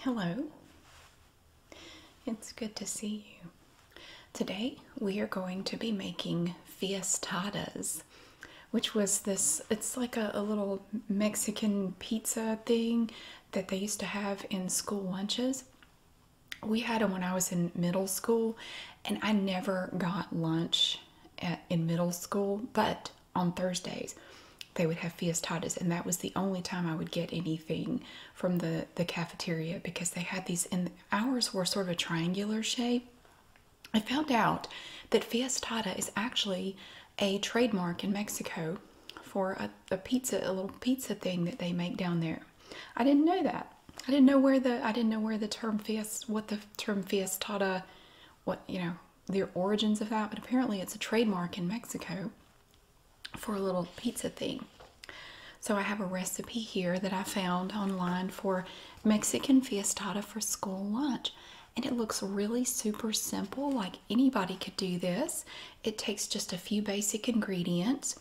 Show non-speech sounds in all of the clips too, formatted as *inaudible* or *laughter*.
Hello, it's good to see you. Today we are going to be making fiestadas, which was this, it's like a, little Mexican pizza thing that they used to have in school lunches. We had them when I was in middle school, and I never got lunch in middle school, but on Thursdays they would have fiestadas and that was the only time i would get anything from the the cafeteria because they had these and ours were sort of a triangular shape i found out that fiestata is actually a trademark in mexico for a, pizza a little pizza thing that they make down there i didn't know that i didn't know where the i didn't know where the term fiest what the term fiestata, what you know the origins of that but apparently it's a trademark in mexico for a little pizza thing. So I have a recipe here that I found online for Mexican fiestada for school lunch. And it looks really super simple, like anybody could do this. It takes just a few basic ingredients.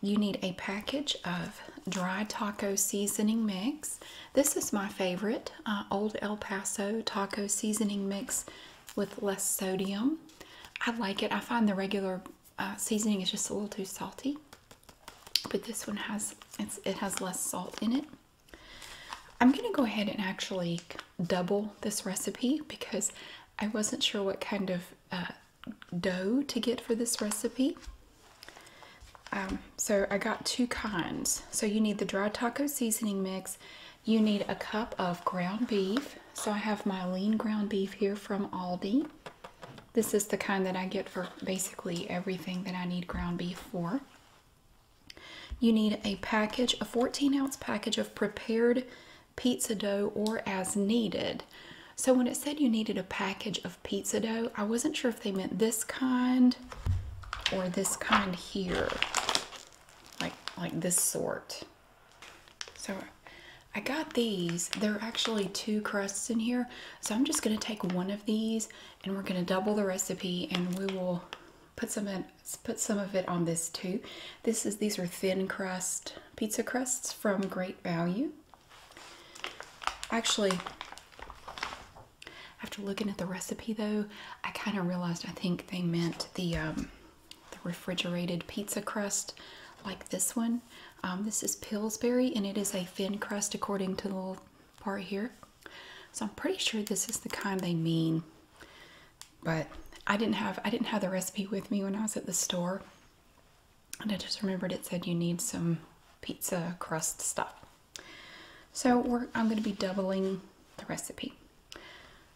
You need a package of dry taco seasoning mix. This is my favorite, uh, Old El Paso taco seasoning mix with less sodium. I like it. I find the regular uh, seasoning is just a little too salty, but this one has it's, it has less salt in it. I'm gonna go ahead and actually double this recipe because I wasn't sure what kind of uh, dough to get for this recipe. Um, so I got two kinds. So you need the dry taco seasoning mix you need a cup of ground beef. So I have my lean ground beef here from Aldi. This is the kind that I get for basically everything that I need ground beef for. You need a package, a 14 ounce package of prepared pizza dough or as needed. So when it said you needed a package of pizza dough, I wasn't sure if they meant this kind or this kind here, like, like this sort. So I got these. There are actually two crusts in here. So I'm just going to take one of these and we're going to double the recipe and we will put some put some of it on this too. This is these are thin crust pizza crusts from Great Value. Actually, after looking at the recipe though, I kind of realized I think they meant the um, the refrigerated pizza crust like this one. Um, this is Pillsbury and it is a thin crust according to the part here. So I'm pretty sure this is the kind they mean. But I didn't have I didn't have the recipe with me when I was at the store. And I just remembered it said you need some pizza crust stuff. So I'm going to be doubling the recipe.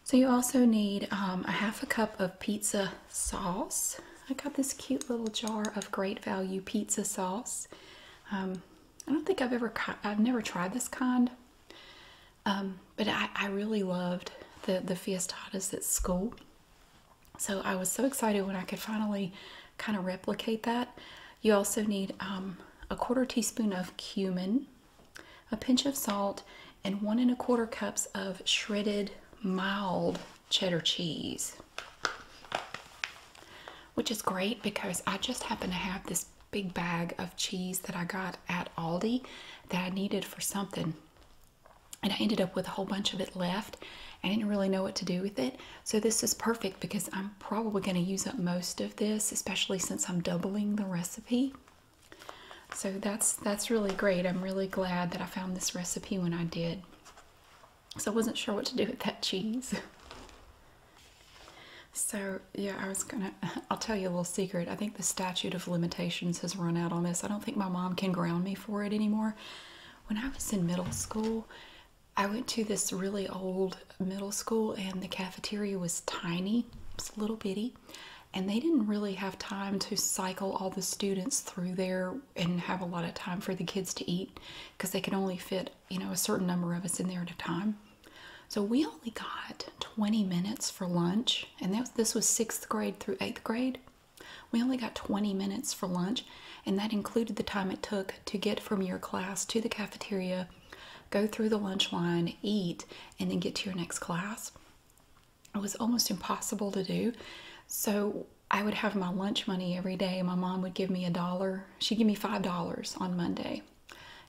So you also need um, a half a cup of pizza sauce. I got this cute little jar of great value pizza sauce. Um, I don't think I've ever, I've never tried this kind, um, but I, really loved the, the fiestadas at school. So I was so excited when I could finally kind of replicate that. You also need a quarter teaspoon of cumin, a pinch of salt, and one and a quarter cups of shredded mild cheddar cheese. Which is great because I just happen to have this big bag of cheese that I got at Aldi that I needed for something. And I ended up with a whole bunch of it left. I didn't really know what to do with it. So this is perfect because I'm probably going to use up most of this, especially since I'm doubling the recipe. So that's that's really great. I'm really glad that I found this recipe when I did. So I wasn't sure what to do with that cheese. *laughs* So yeah, I was gonna. *laughs* I'll tell you a little secret. I think the statute of limitations has run out on this. I don't think my mom can ground me for it anymore. When I was in middle school, I went to this really old middle school, and the cafeteria was tiny. It was a little bitty, and they didn't really have time to cycle all the students through there and have a lot of time for the kids to eat because they could only fit you know a certain number of us in there at a time so we only got 20 minutes for lunch and that was, this was sixth grade through eighth grade we only got 20 minutes for lunch and that included the time it took to get from your class to the cafeteria go through the lunch line eat and then get to your next class it was almost impossible to do. So I would have my lunch money every day. My mom would give me a dollar. She'd give me $5 on Monday,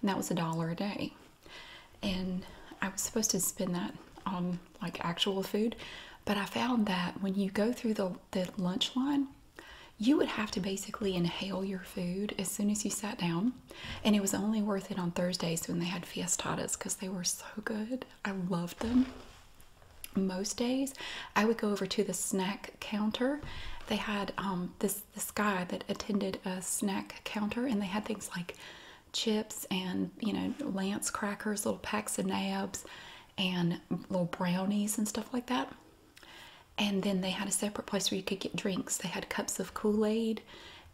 and that was a dollar a day. And I was supposed to spend that on like actual food, but I found that when you go through the, the lunch line, you would have to basically inhale your food as soon as you sat down and it was only worth it on Thursdays when they had fiestitas because they were so good. I loved them. Most days, I would go over to the snack counter. They had um, this this guy that attended a snack counter, and they had things like chips and you know lance crackers, little packs of nabs, and little brownies and stuff like that. And then they had a separate place where you could get drinks. They had cups of Kool Aid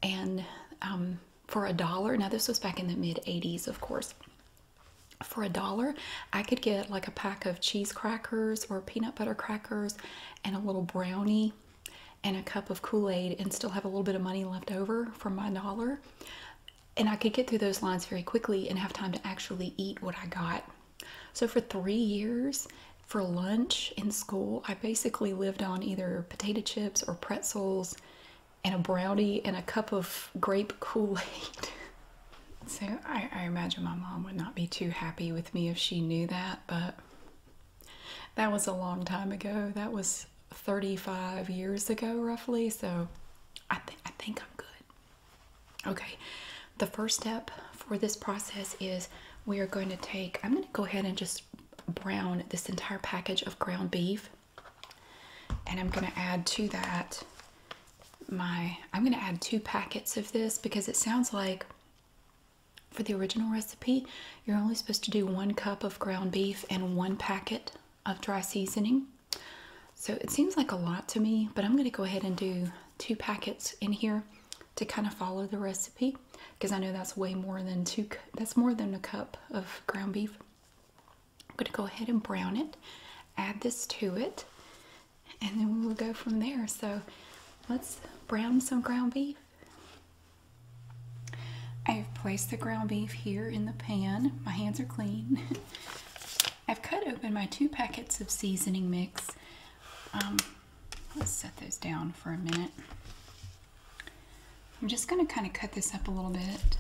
and um, for a dollar. Now, this was back in the mid 80s, of course. For a dollar, I could get like a pack of cheese crackers or peanut butter crackers and a little brownie and a cup of Kool Aid and still have a little bit of money left over from my dollar. And I could get through those lines very quickly and have time to actually eat what I got. So, for three years, for lunch in school, I basically lived on either potato chips or pretzels and a brownie and a cup of grape Kool-Aid. *laughs* so I, imagine my mom would not be too happy with me if she knew that, but that was a long time ago. That was 35 years ago roughly, so I think I'm good. Okay, the first step for this process is we are going to take, I'm going to go ahead and just brown this entire package of ground beef and I'm going to add to that my I'm going to add two packets of this because it sounds like for the original recipe you're only supposed to do one cup of ground beef and one packet of dry seasoning so it seems like a lot to me but I'm going to go ahead and do two packets in here to kind of follow the recipe because I know that's way more than two, that's more than a cup of ground beef. I'm going to go ahead and brown it, add this to it, and then we'll go from there. So let's brown some ground beef. I've placed the ground beef here in the pan. My hands are clean. *laughs* I've cut open my two packets of seasoning mix. Um, let's set those down for a minute. I'm just going to kind of cut this up a little bit.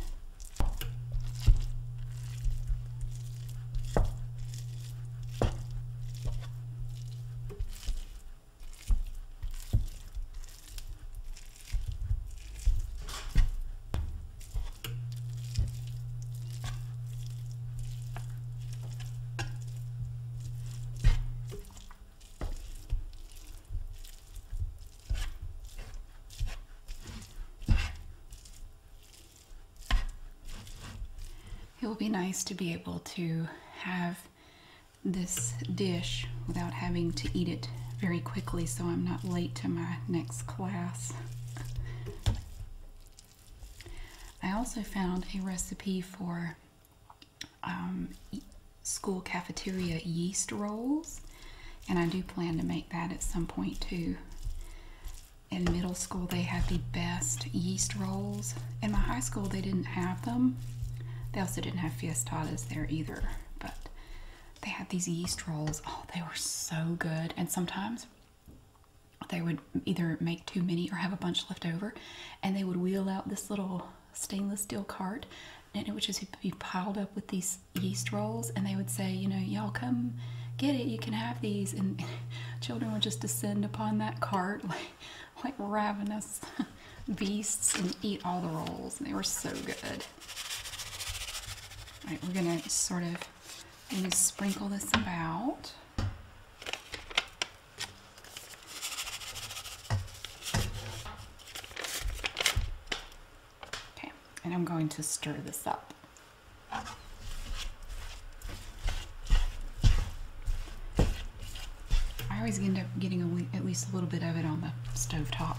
It will be nice to be able to have this dish without having to eat it very quickly so I'm not late to my next class. I also found a recipe for um, school cafeteria yeast rolls, and I do plan to make that at some point too. In middle school, they had the best yeast rolls. In my high school, they didn't have them. They also didn't have fiestadas there either, but they had these yeast rolls. Oh, they were so good. And sometimes they would either make too many or have a bunch left over, and they would wheel out this little stainless steel cart and it would just be piled up with these yeast rolls and they would say you know y'all come get it you can have these and *laughs* children would just descend upon that cart *laughs* like like ravenous *laughs* beasts and eat all the rolls and they were so good all right we're gonna sort of maybe sprinkle this about Okay, and I'm going to stir this up. I always end up getting at least a little bit of it on the stove top.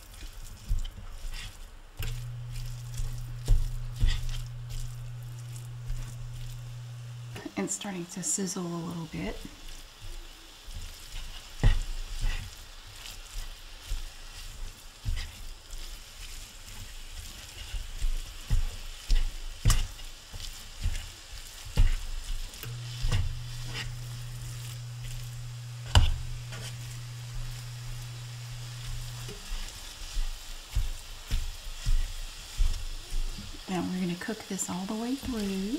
And starting to sizzle a little bit. Now we're going to cook this all the way through.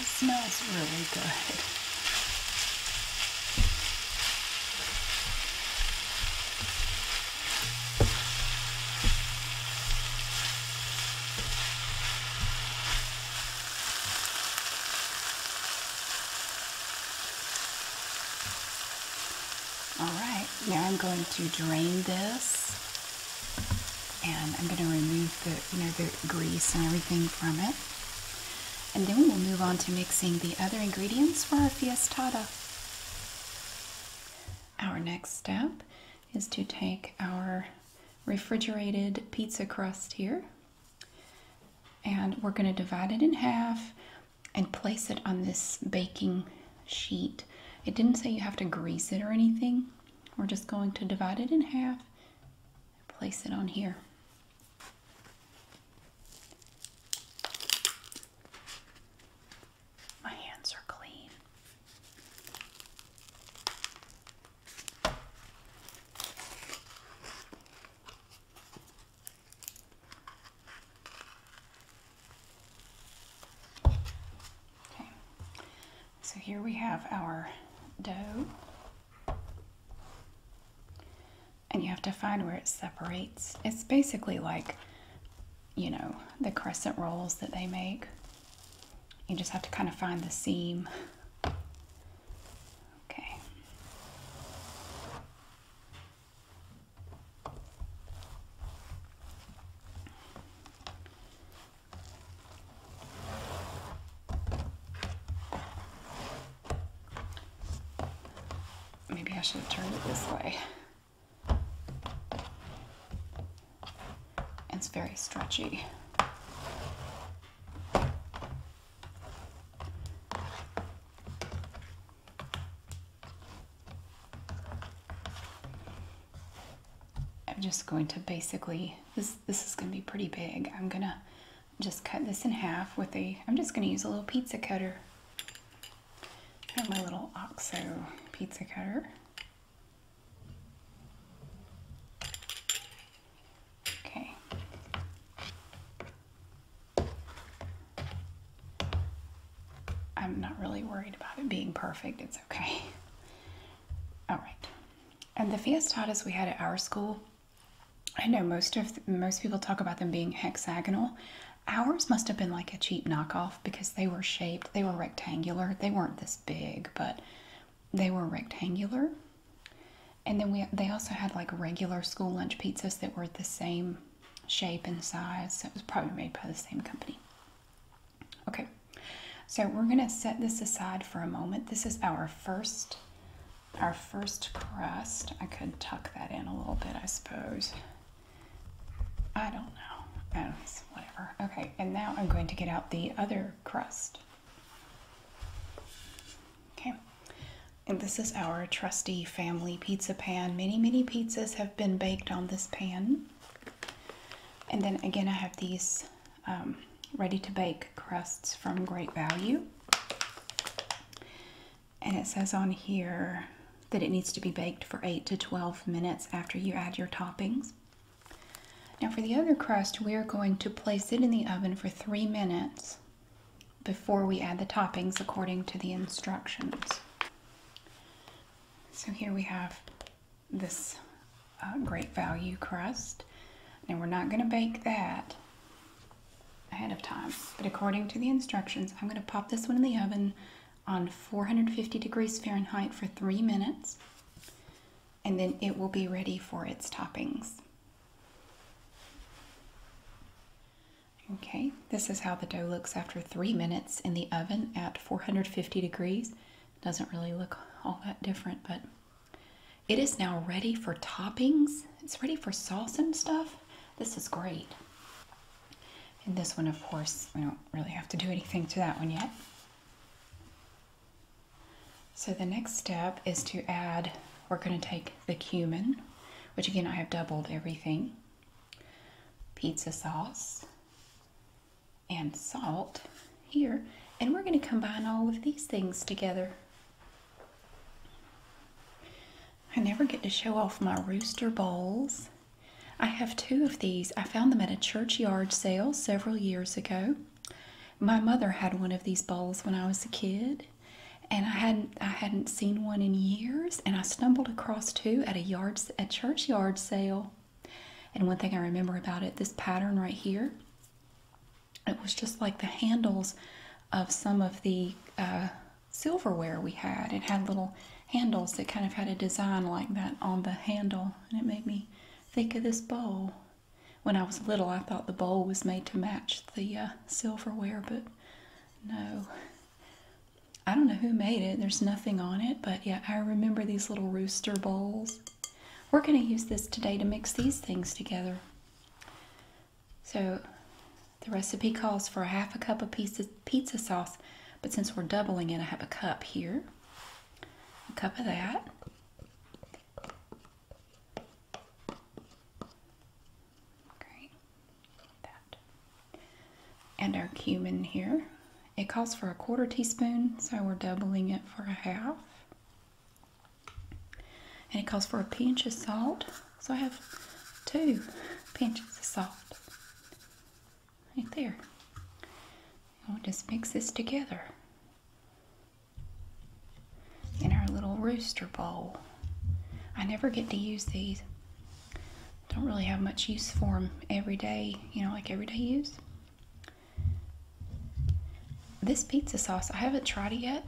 It smells really good. All right, now I'm going to drain this and I'm going to remove the, you know, the grease and everything from it. And then we will move on to mixing the other ingredients for our fiestada. Our next step is to take our refrigerated pizza crust here and we're going to divide it in half and place it on this baking sheet. It didn't say you have to grease it or anything. We're just going to divide it in half and place it on here. My hands are clean. Okay, so here we have our dough. And you have to find where it separates. It's basically like, you know, the crescent rolls that they make. You just have to kind of find the seam. Okay. Maybe I should have turned it this way. It's very stretchy. I'm just going to basically, this, this is going to be pretty big. I'm going to just cut this in half with a, I'm just going to use a little pizza cutter. my little OXO pizza cutter. Okay. I'm not really worried about it being perfect. It's okay. *laughs* All right. And the fiestadas we had at our school, I know most of most people talk about them being hexagonal. Ours must have been like a cheap knockoff because they were shaped, they were rectangular. They weren't this big, but they were rectangular. And then we they also had like regular school lunch pizzas that were the same shape and size. So it was probably made by the same company. Okay, so we're gonna set this aside for a moment. This is our first, our first crust. I could tuck that in a little bit, I suppose. I don't know. Oh, whatever. Okay, and now I'm going to get out the other crust. Okay, and this is our trusty family pizza pan. Many, many pizzas have been baked on this pan. And then again, I have these um, ready to bake crusts from Great Value. And it says on here that it needs to be baked for 8 to 12 minutes after you add your toppings. Now for the other crust, we are going to place it in the oven for 3 minutes before we add the toppings according to the instructions. So here we have this uh, great value crust. and we're not going to bake that ahead of time, but according to the instructions, I'm going to pop this one in the oven on 450 degrees Fahrenheit for three minutes, and then it will be ready for its toppings. Okay, this is how the dough looks after three minutes in the oven at 450 degrees. Doesn't really look all that different, but it is now ready for toppings. It's ready for sauce and stuff. This is great. And this one, of course, we don't really have to do anything to that one yet. So the next step is to add, we're going to take the cumin, which again I have doubled everything, pizza sauce, and salt here. And we're going to combine all of these things together. I never get to show off my rooster bowls. I have two of these. I found them at a churchyard sale several years ago. My mother had one of these bowls when I was a kid, and I hadn't I hadn't seen one in years, and I stumbled across two at a yard a churchyard sale. And one thing I remember about it, this pattern right here, it was just like the handles of some of the uh, silverware we had. It had little handles that kind of had a design like that on the handle, and it made me think of this bowl. When I was little, I thought the bowl was made to match the uh, silverware, but no. I don't know who made it. There's nothing on it, but yeah, I remember these little rooster bowls. We're going to use this today to mix these things together. So the recipe calls for a half a cup of pizza, pizza sauce, but since we're doubling it, I have a cup here. A cup of that. Great. That and our cumin here. It calls for a quarter teaspoon, so we're doubling it for a half. And it calls for a pinch of salt, so I have two pinches of salt right there. And we'll just mix this together in our little rooster bowl. I never get to use these don't really have much use for them every day, you know, like everyday use. This pizza sauce, I haven't tried it yet,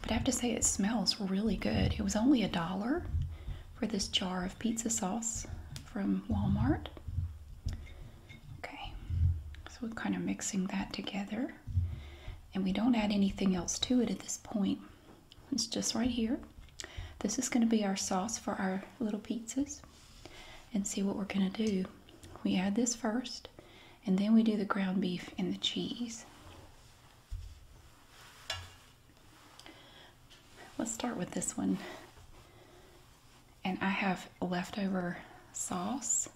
but I have to say it smells really good. It was only a dollar for this jar of pizza sauce from Walmart. Okay, so we're kind of mixing that together. And we don't add anything else to it at this point. It's just right here. This is going to be our sauce for our little pizzas. And see what we're going to do. We add this first, and then we do the ground beef and the cheese. Let's start with this one. And I have leftover sauce.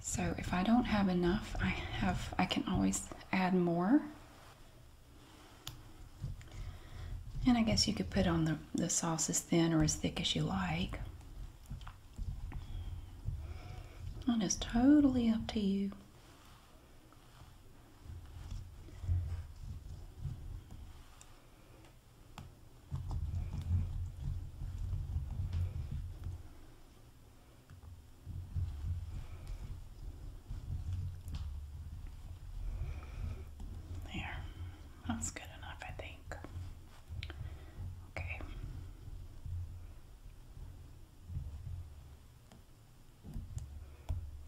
So if I don't have enough, I have I can always add more. And I guess you could put on the, the sauce as thin or as thick as you like. And it's totally up to you. There. That's good enough, I think. Okay.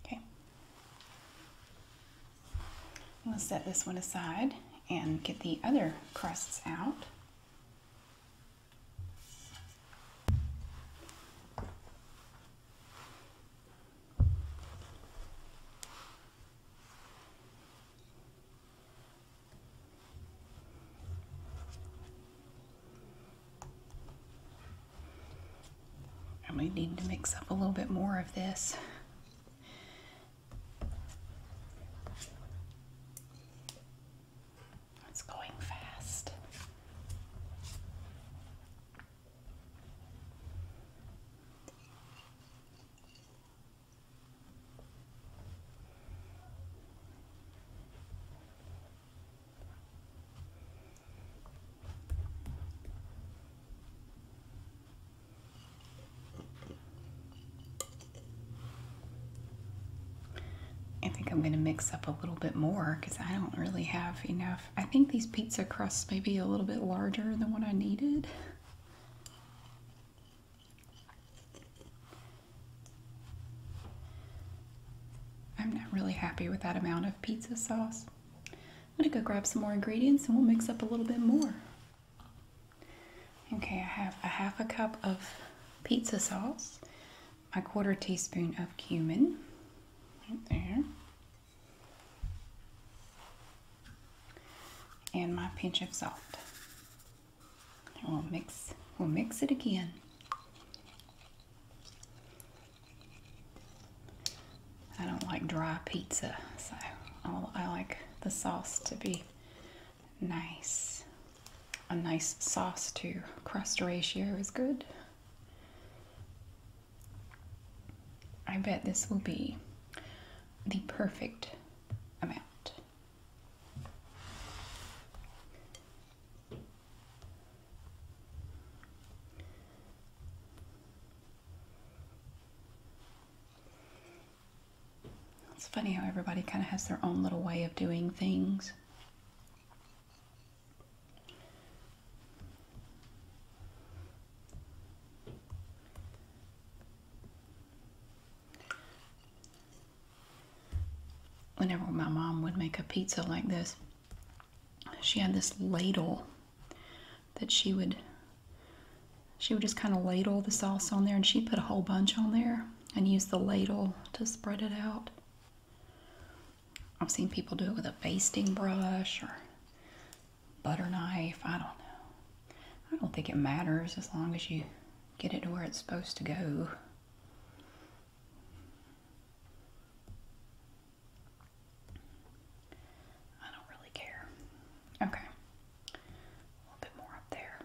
Okay. I'm going to set this one aside and get the other crusts out. I might need to mix up a little bit more of this. It's going fast. I think I'm going to mix up a little bit more because I don't really have enough I think these pizza crusts may be a little bit larger than what I needed. I'm not really happy with that amount of pizza sauce. I'm going to go grab some more ingredients and we'll mix up a little bit more. Okay, I have a half a cup of pizza sauce, a quarter teaspoon of cumin, right there, and my pinch of salt. we'll mix, we'll mix it again. I don't like dry pizza, so I like the sauce to be nice. A nice sauce to crust ratio is good. I bet this will be the perfect amount. It's funny how everybody kind of has their own little way of doing things. Whenever my mom would make a pizza like this, she had this ladle that she would she would just kind of ladle the sauce on there and she put a whole bunch on there and use the ladle to spread it out. I've seen people do it with a basting brush or butter knife. I don't know. I don't think it matters as long as you get it to where it's supposed to go. I don't really care. Okay. A little bit more up there.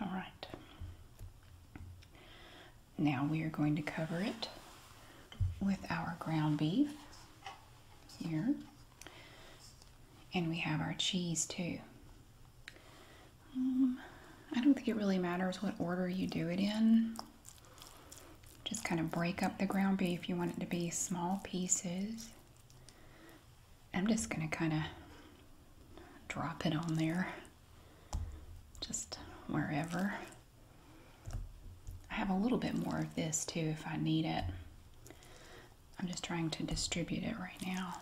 All right. Now we are going to cover it with our ground beef here. And we have our cheese too. Um, I don't think it really matters what order you do it in. Just kind of break up the ground beef. You want it to be small pieces. I'm just going to kind of drop it on there, just wherever. I have a little bit more of this too if I need it. I'm just trying to distribute it right now.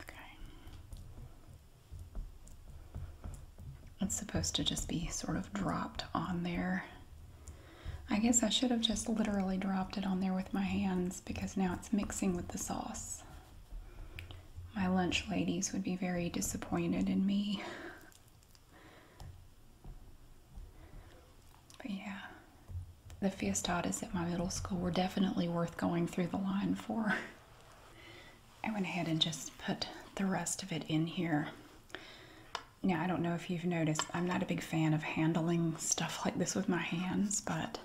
Okay. It's supposed to just be sort of dropped on there. I guess I should have just literally dropped it on there with my hands because now it's mixing with the sauce. My lunch ladies would be very disappointed in me. But yeah, the fiestadas at my middle school were definitely worth going through the line for. I went ahead and just put the rest of it in here. Now, I don't know if you've noticed, I'm not a big fan of handling stuff like this with my hands, but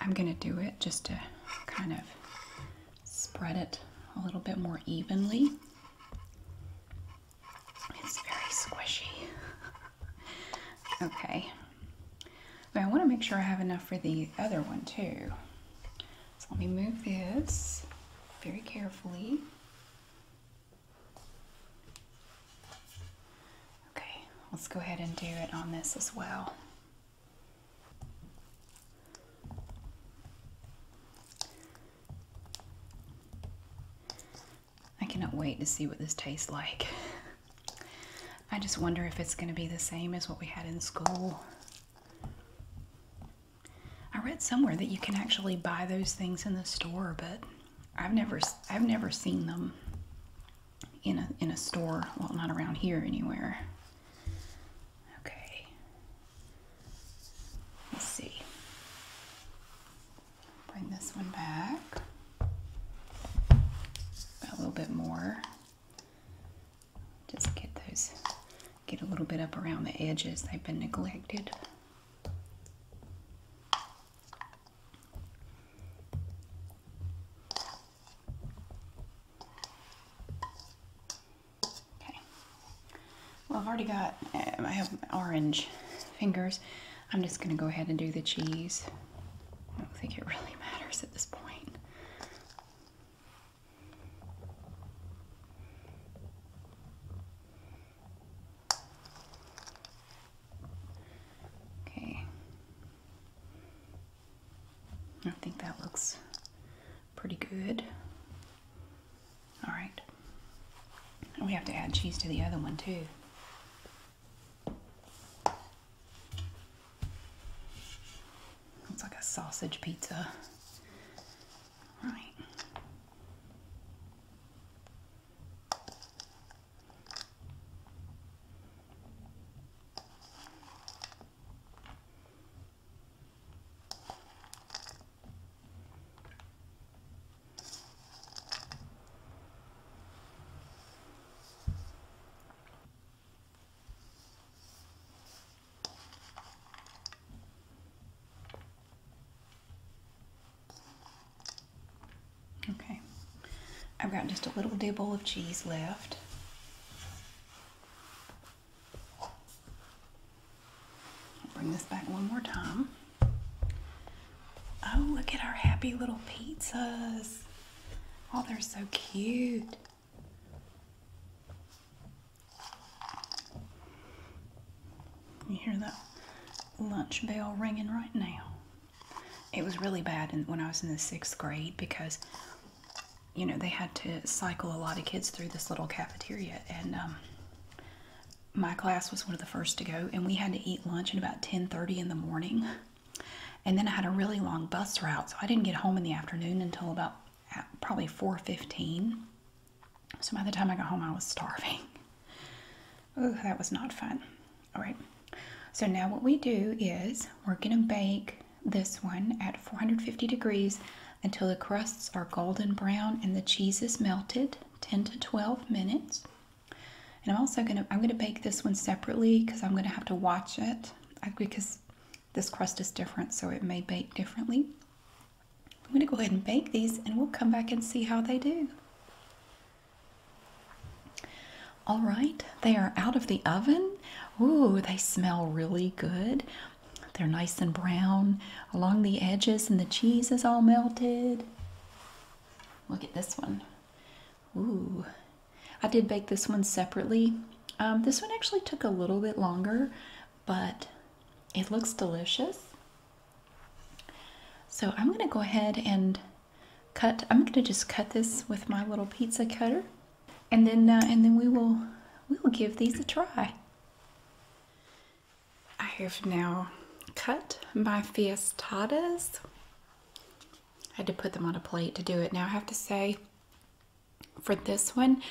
I'm going to do it just to kind of spread it a little bit more evenly. It's very squishy. okay. Now I want to make sure I have enough for the other one too. So let me move this very carefully. Okay, let's go ahead and do it on this as well. I cannot wait to see what this tastes like. I just wonder if it's going to be the same as what we had in school. I read somewhere that you can actually buy those things in the store, but I've never I've never seen them in a in a store. Well, not around here anywhere. Okay. Let's see. Bring this one back. A little bit more. Just get those, get a little bit up around the edges. They've been neglected. Okay. Well, I've already got, uh, I have orange fingers. I'm just going to go ahead and do the cheese. I don't think it really *laughs* matters at this point. Okay. I think that looks pretty good. All right. we have to add cheese to the other one too. Looks like a sausage pizza. All right. Okay, I've got just a little dibble of cheese left. bring this back one more time. Oh, look at our happy little pizzas. Oh, they're so cute. You hear that lunch bell ringing right now. It was really bad when I was in the sixth grade because, you know, they had to cycle a lot of kids through this little cafeteria. And um, my class was one of the first to go and we had to eat lunch at about 10:30 in the morning and then I had a really long bus route so I didn't get home in the afternoon until about probably 4:15 so by the time I got home I was starving *laughs* oh that was not fun all right so now what we do is we're gonna bake this one at 450 degrees until the crusts are golden brown and the cheese is melted 10 to 12 minutes and I'm also gonna I'm gonna bake this one separately because I'm gonna have to watch it because this crust is different so it may bake differently. I'm gonna go ahead and bake these and we'll come back and see how they do. All right, they are out of the oven. Ooh, they smell really good. They're nice and brown along the edges and the cheese is all melted. Look at this one. Ooh, I did bake this one separately. Um, this one actually took a little bit longer, but it looks delicious. So I'm gonna go ahead and cut, I'm gonna just cut this with my little pizza cutter and then, uh, and then we will, we will give these a try. I have now cut my fiestadas I had to put them on a plate to do it. Now I have to say, for this one,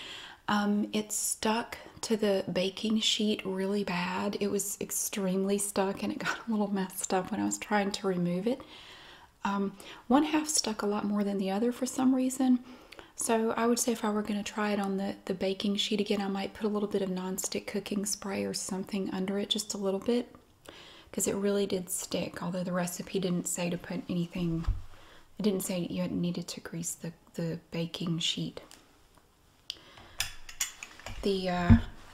um, it stuck to the baking sheet really bad. It was extremely stuck and it got a little messed up when I was trying to remove it. Um, one half stuck a lot more than the other for some reason. So I would say if I were going to try it on the, the baking sheet again, I might put a little bit of nonstick cooking spray or something under it, just a little bit because it really did stick although the recipe didn't say to put anything it didn't say you needed to grease the, the baking sheet the uh,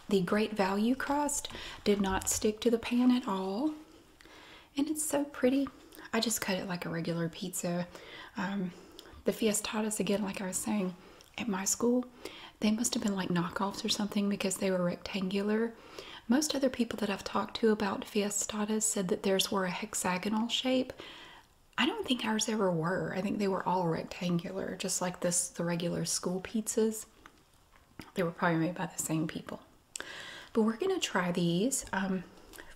the great value crust did not stick to the pan at all and it's so pretty I just cut it like a regular pizza um, the fiestadas again like I was saying at my school they must have been like knockoffs or something because they were rectangular. Most other people that I've talked to about Fiestadas said that theirs were a hexagonal shape. I don't think ours ever were. I think they were all rectangular, just like this the regular school pizzas. They were probably made by the same people. But we're gonna try these. Um,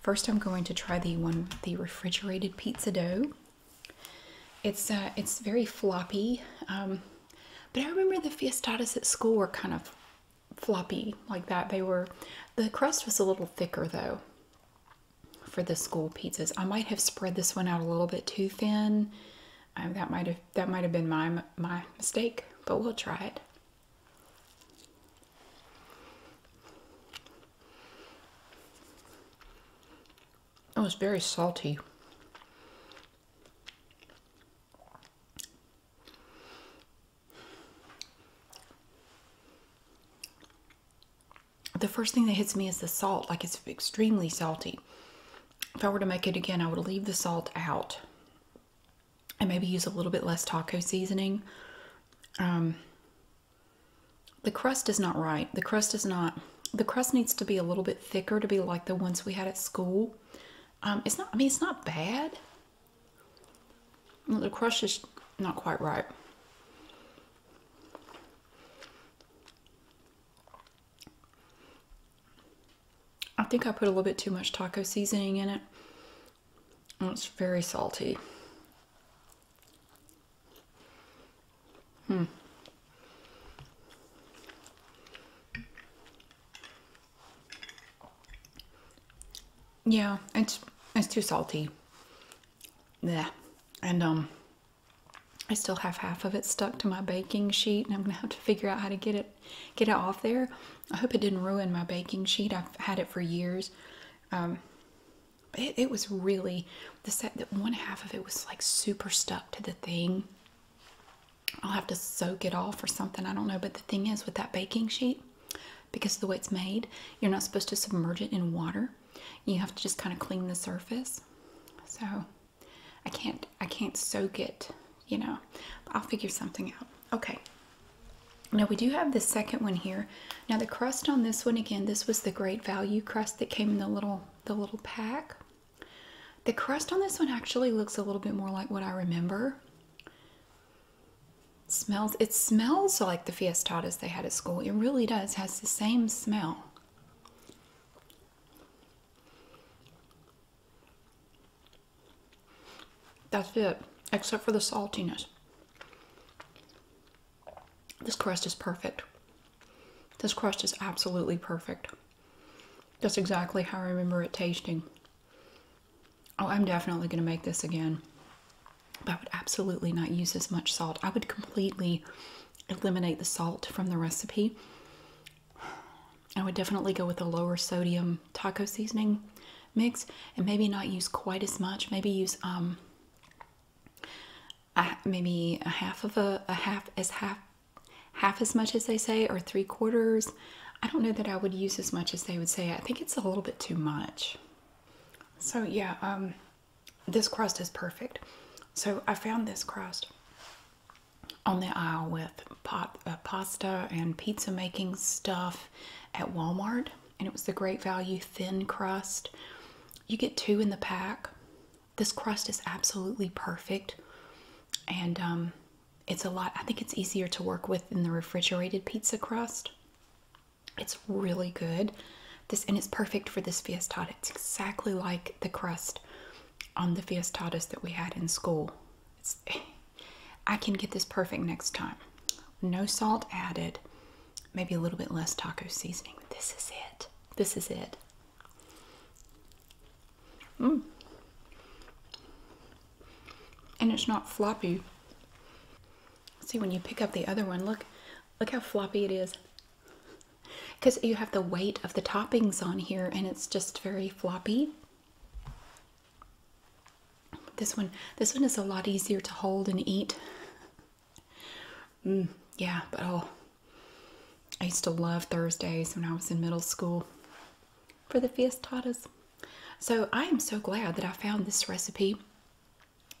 first, I'm going to try the one the refrigerated pizza dough. It's uh, it's very floppy, um, but I remember the fiestadas at school were kind of floppy like that. They were the crust was a little thicker though for the school pizzas. I might have spread this one out a little bit too thin. that might have that might have been my my mistake, but we'll try it. It was very salty. The first thing that hits me is the salt, like it's extremely salty. If I were to make it again, I would leave the salt out and maybe use a little bit less taco seasoning. Um, the crust is not right. The crust is not the crust needs to be a little bit thicker to be like the ones we had at school. Um, it's not, I mean, it's not bad. The crust is not quite right. I think I put a little bit too much taco seasoning in it. it's very salty. Hmm. Yeah, it's it's too salty. Yeah. And um I still have half of it stuck to my baking sheet and I'm gonna have to figure out how to get it get it off there. I hope it didn't ruin my baking sheet. I've had it for years. Um it, it was really the set that one half of it was like super stuck to the thing I'll have to soak it off or something. I don't know. But the thing is, with that baking sheet, because of the way it's made, you're not supposed to submerge it in water. You have to just kind of clean the surface. So I can't I can't soak it, you know. I'll figure something out. Okay. Now we do have the second one here. Now the crust on this one again, this was the great value crust that came in the little the little pack. The crust on this one actually looks a little bit more like what I remember. smells it smells like the fiestadas they had at school. It really does. has the same smell. That's it, except for the saltiness. This crust is perfect. This crust is absolutely perfect. That's exactly how I remember it tasting. Oh, I'm definitely going to make this again. But I would absolutely not use as much salt. I would completely eliminate the salt from the recipe. I would definitely go with a lower sodium taco seasoning mix and maybe not use quite as much. Maybe use um, maybe a half of a, a half as half half as much as they say or three quarters. I don't know that I would use as much as they would say. I think it's a little bit too much. So yeah, um, this crust is perfect. So I found this crust on the aisle with pot, uh, pasta and pizza making stuff at Walmart. And it was the Great Value Thin Crust. You get two in the pack. This crust is absolutely perfect, and um, it's a lot. I think it's easier to work with than the refrigerated pizza crust. It's really good. This and it's perfect for this fiestada. It's exactly like the crust on the fiestadas that we had in school. *sighs* I can get this perfect next time. No salt added, maybe a little bit less taco seasoning. This is it. This is it. Mm. And it's not floppy. See, when you pick up the other one, look, look how floppy it is. Because you have the weight of the toppings on here and it's just very floppy. This one, this one is a lot easier to hold and eat. Mm, yeah, but oh. I used to love Thursdays when I was in middle school for the fiestadas. So I am so glad that I found this recipe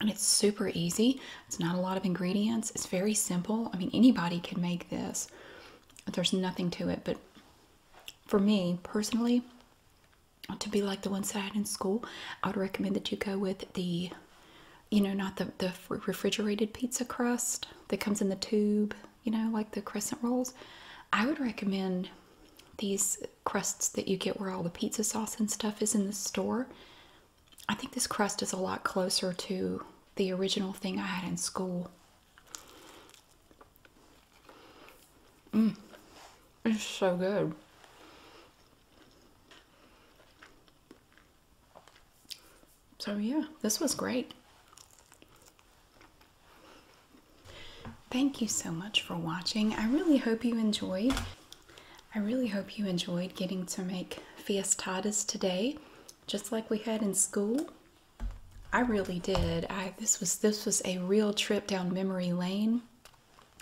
and it's super easy. It's not a lot of ingredients. It's very simple. I mean, anybody can make this. There's nothing to it. But for me personally, to be like the ones that I had in school, I would recommend that you go with the, you know, not the, the refrigerated pizza crust that comes in the tube, you know, like the crescent rolls. I would recommend these crusts that you get where all the pizza sauce and stuff is in the store. I think this crust is a lot closer to the original thing I had in school. Mmm, it's so good. So, yeah, this was great. Thank you so much for watching. I really hope you enjoyed. I really hope you enjoyed getting to make fiestadas today, just like we had in school. I really did. I this was this was a real trip down memory lane.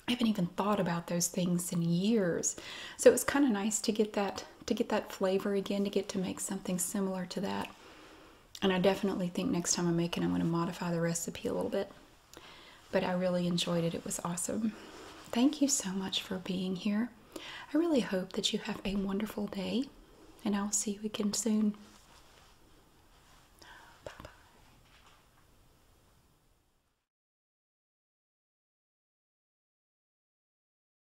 I haven't even thought about those things in years. So it was kind of nice to get that to get that flavor again, to get to make something similar to that. And I definitely think next time I make it, I'm going to modify the recipe a little bit. But I really enjoyed it. It was awesome. Thank you so much for being here. I really hope that you have a wonderful day, and I'll see you again soon. Bye bye.